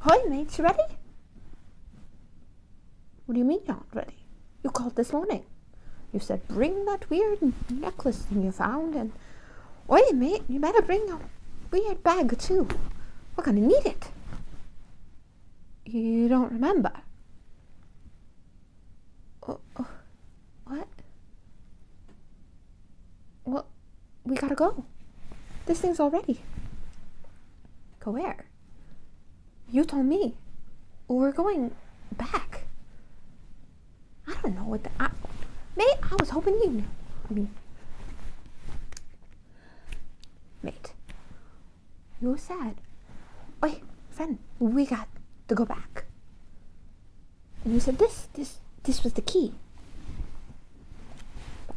Hi mates, you ready? What do you mean you're not ready? You called this morning. You said bring that weird necklace thing you found and... Oi mate, you better bring a weird bag too. We're gonna need it. You don't remember? Oh, oh, what? What? we gotta go. This thing's all ready. Go where? You told me. We're going back. I don't know what the. mate, I was hoping you knew. I mean, mate, you said, Oi, friend, we got to go back. And you said this, this, this was the key.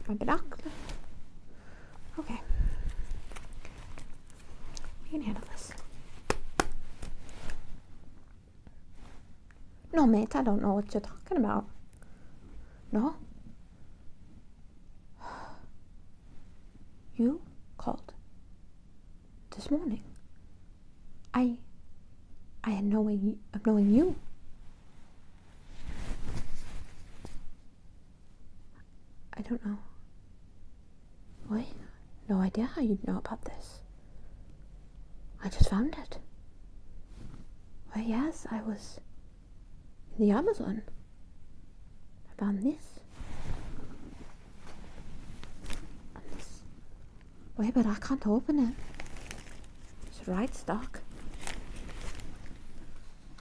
My binocular. Okay. We can handle this. No, mate, I don't know what you're talking about. No? You called this morning. I I had no way of knowing you I don't know. What? No idea how you'd know about this. I just found it. Well, yes, I was in the Amazon. I found this. this. Wait, but I can't open it. It's right stuck.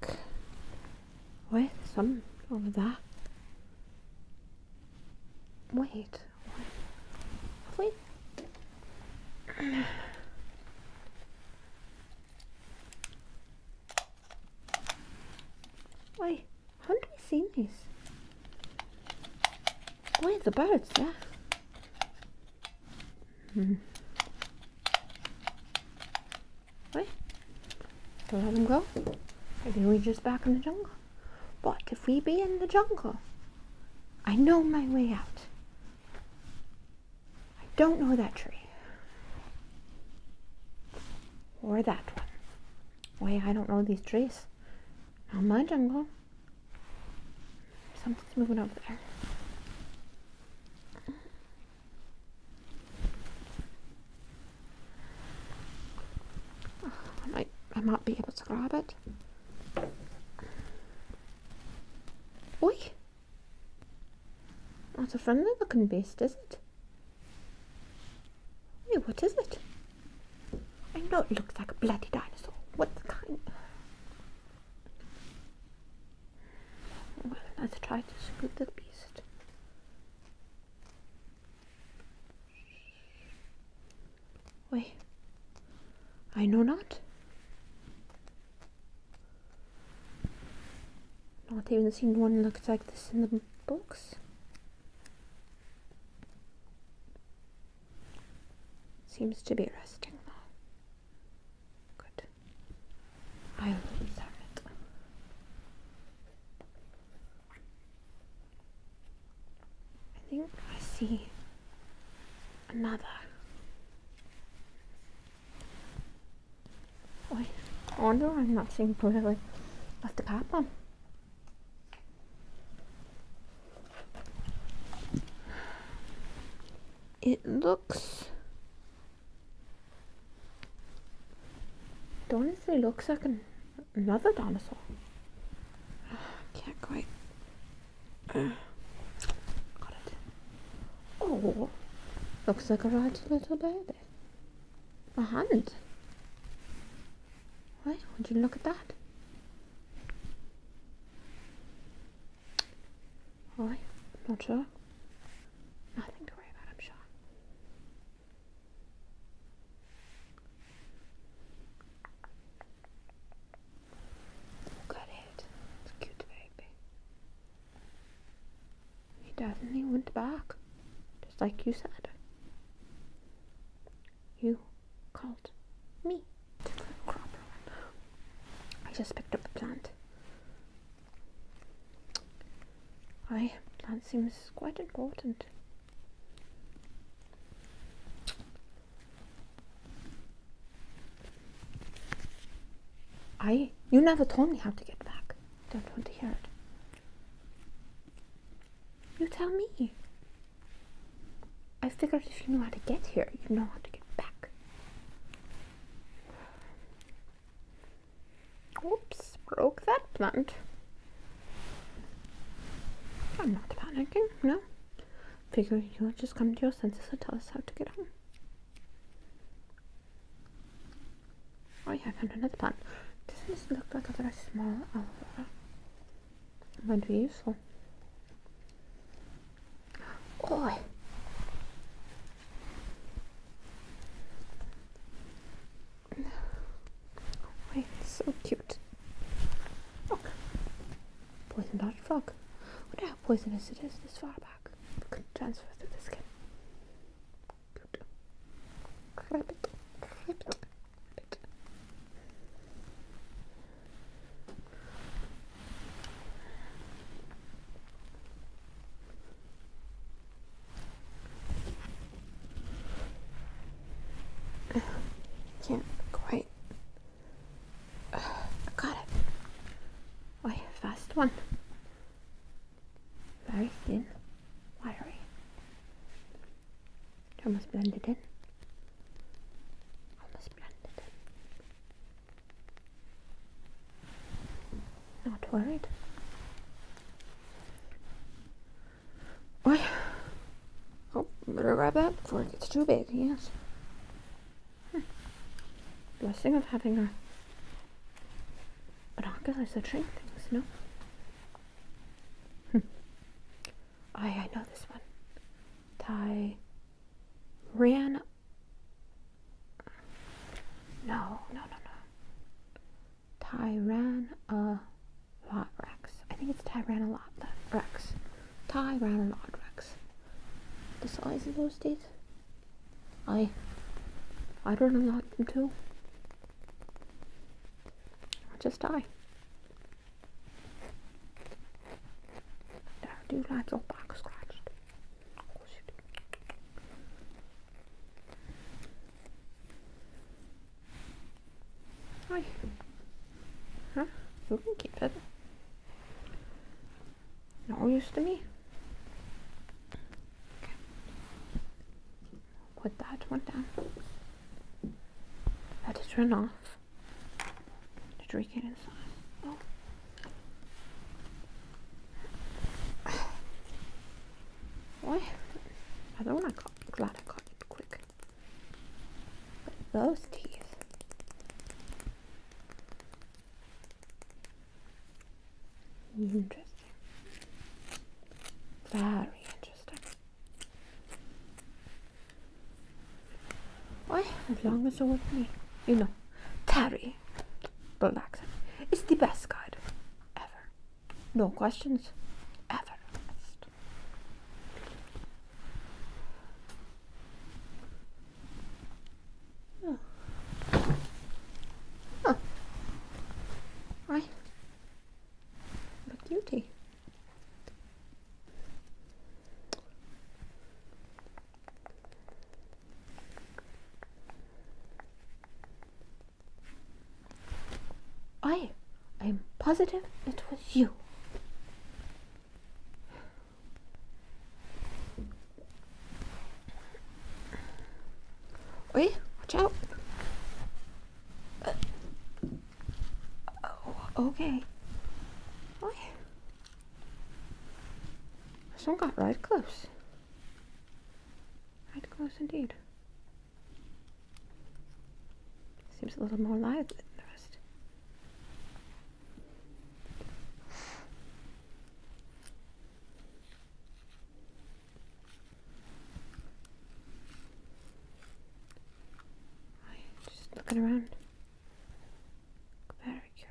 book with some of that. Wait, wait. wait. Wait, haven't we seen this? Wait, the birds, yeah. Right? Don't let them go. Maybe we just back in the jungle. But if we be in the jungle, I know my way out. I don't know that tree. Or that one. Why, I don't know these trees. Not my jungle. Something's moving over there. I might, I might be able to grab it. What? That's a friendly looking beast, is it? Hey, what is it? I know it looks like a bloody dinosaur. What kind? Well, let's try to scoop the beast. Wait, I know not. Not even seen one looked like this in the books. Seems to be resting now. Good. I love that. I think I see another. Wait, I wonder I'm not seeing clearly. Left the pop It looks it honestly looks like another dinosaur. Uh, can't quite. Oh, looks like a right little baby. A hand. Why would you look at that? Why? Not sure. Nothing to worry about, I'm sure. Look at it. It's a cute baby. He definitely went back, just like you said. You called me. I just picked up the plant. Aye, that seems quite important. Aye, you never told me how to get back. Don't want to hear it. You tell me. I figured if you knew how to get here, you know how to get back. Oops, broke that plant. I'm not panicking, no. Figure you'll just come to your senses and tell us how to get home. Oh yeah, I found another plant. Doesn't this look like a very small aloe Might be useful. Oi! Oh, Wait, so cute. Oh, poison dart frog. Wonder how poisonous it is this far back. can transfer through the skin. Cute. Grab it. Grab it can't quite. got it. Oh, fast one. Very thin, wiry. Almost blended in. Almost blended in. Not worried. Oi. Oh, better grab that before it gets too big, yes. Hmm. Blessing of having a, but our binoculars that shrink things, no? Hmm. I, I know this one. Ty ran. No, no, no, no. Uh, Rex. I think it's Rex. Tyrannolorex. Rex. The size of those teeth? I I don't like them too. i just die. I do like your box scratched. Oh, Hi. Huh? You can keep it. You're used to me. Okay. Put that one down. Let it run off. To drink it inside. Oh. Why? I don't want to cut. Glad I caught it quick. But those teeth. Interesting. Very interesting. Why? As long as you're with me. You know, Terry. Black accent. It's the best guide ever. No questions ever Huh. Right. What beauty. I am positive it was you. Wait, watch out. Uh, oh, okay. Oi. This one got right close. Right close indeed. Seems a little more lively than the rest. just looking around. Very curious.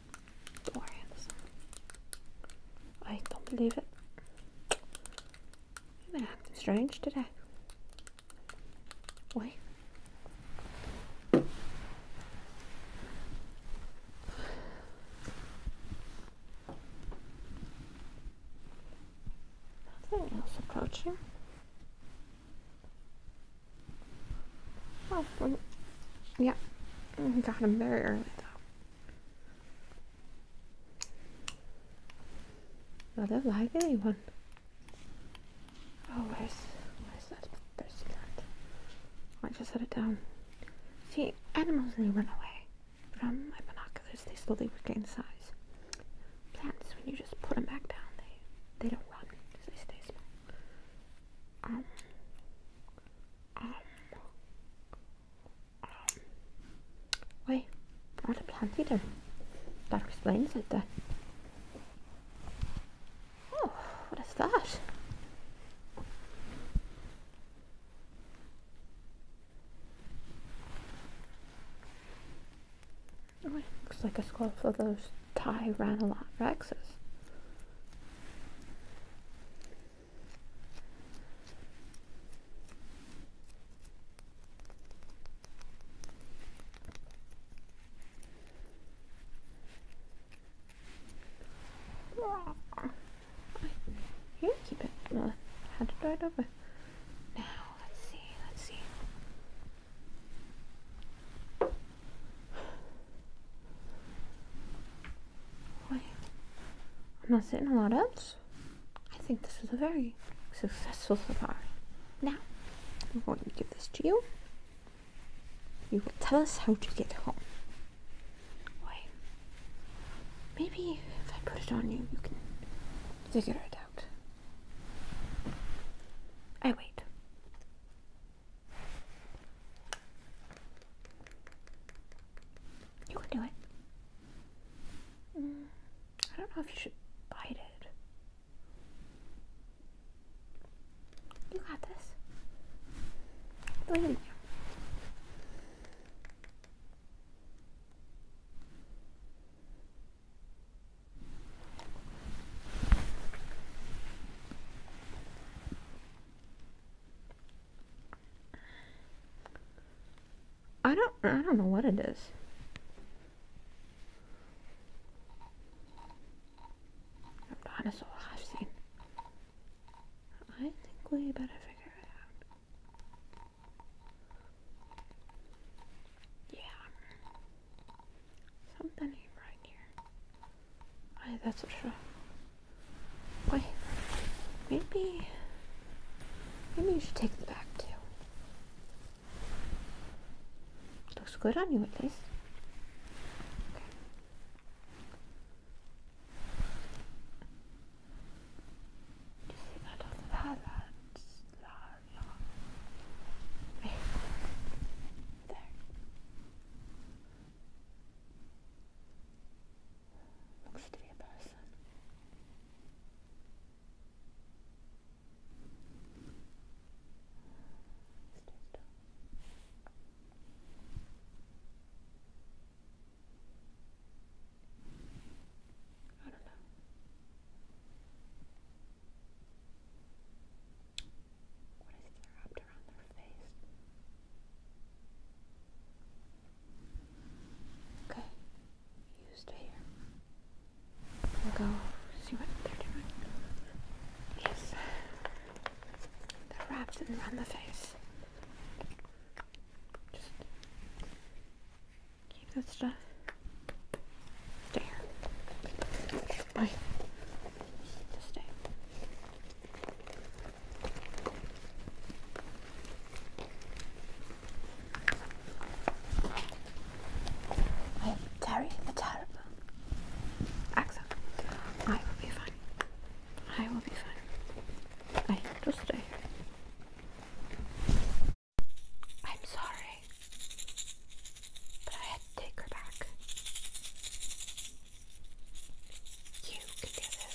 More I don't believe it. You've been acting strange today. Why? Nothing else approaching. Oh, well, yeah. Got him very early though. I don't like anyone. Oh, where's, where's that? There's that. I just set it down. See, animals they run away. From my binoculars, they slowly regain size. Plants, when you just put them back down, they, they don't run, they stay small. Um, why? wait, not a plant eater. That explains it There. Oh, what is that? Oh, looks like a skull for those Tyrannolot rexes. Here, keep it. Well, had to do it over? Now, let's see, let's see. Wait, I'm not saying a lot else. I think this is a very successful safari. Now, I'm going to give this to you. You will tell us how to get home. Wait, maybe if I put it on you, you can figure it out. I wait. You can do it. Mm, I don't know if you should bite it. You got this. Leave in there. I don't I don't know what it is. A dinosaur I've seen. I think we better figure it out. Yeah. Something right here. that's for sure. Wait, maybe, maybe you should take the back too. Looks good on you at least. Okay. Looks to be a person. still. I don't know. What is it wrapped around their face? Okay, you stay here. We'll go see what they're doing. Yes. They're wrapped and around the face. Just keep that stuff. Stay here. Bye. Just stay. I am Terry the Terrible. Axel, I will be fine. I will be fine. I just to stay. I'm sorry, but I had to take her back. You can do this.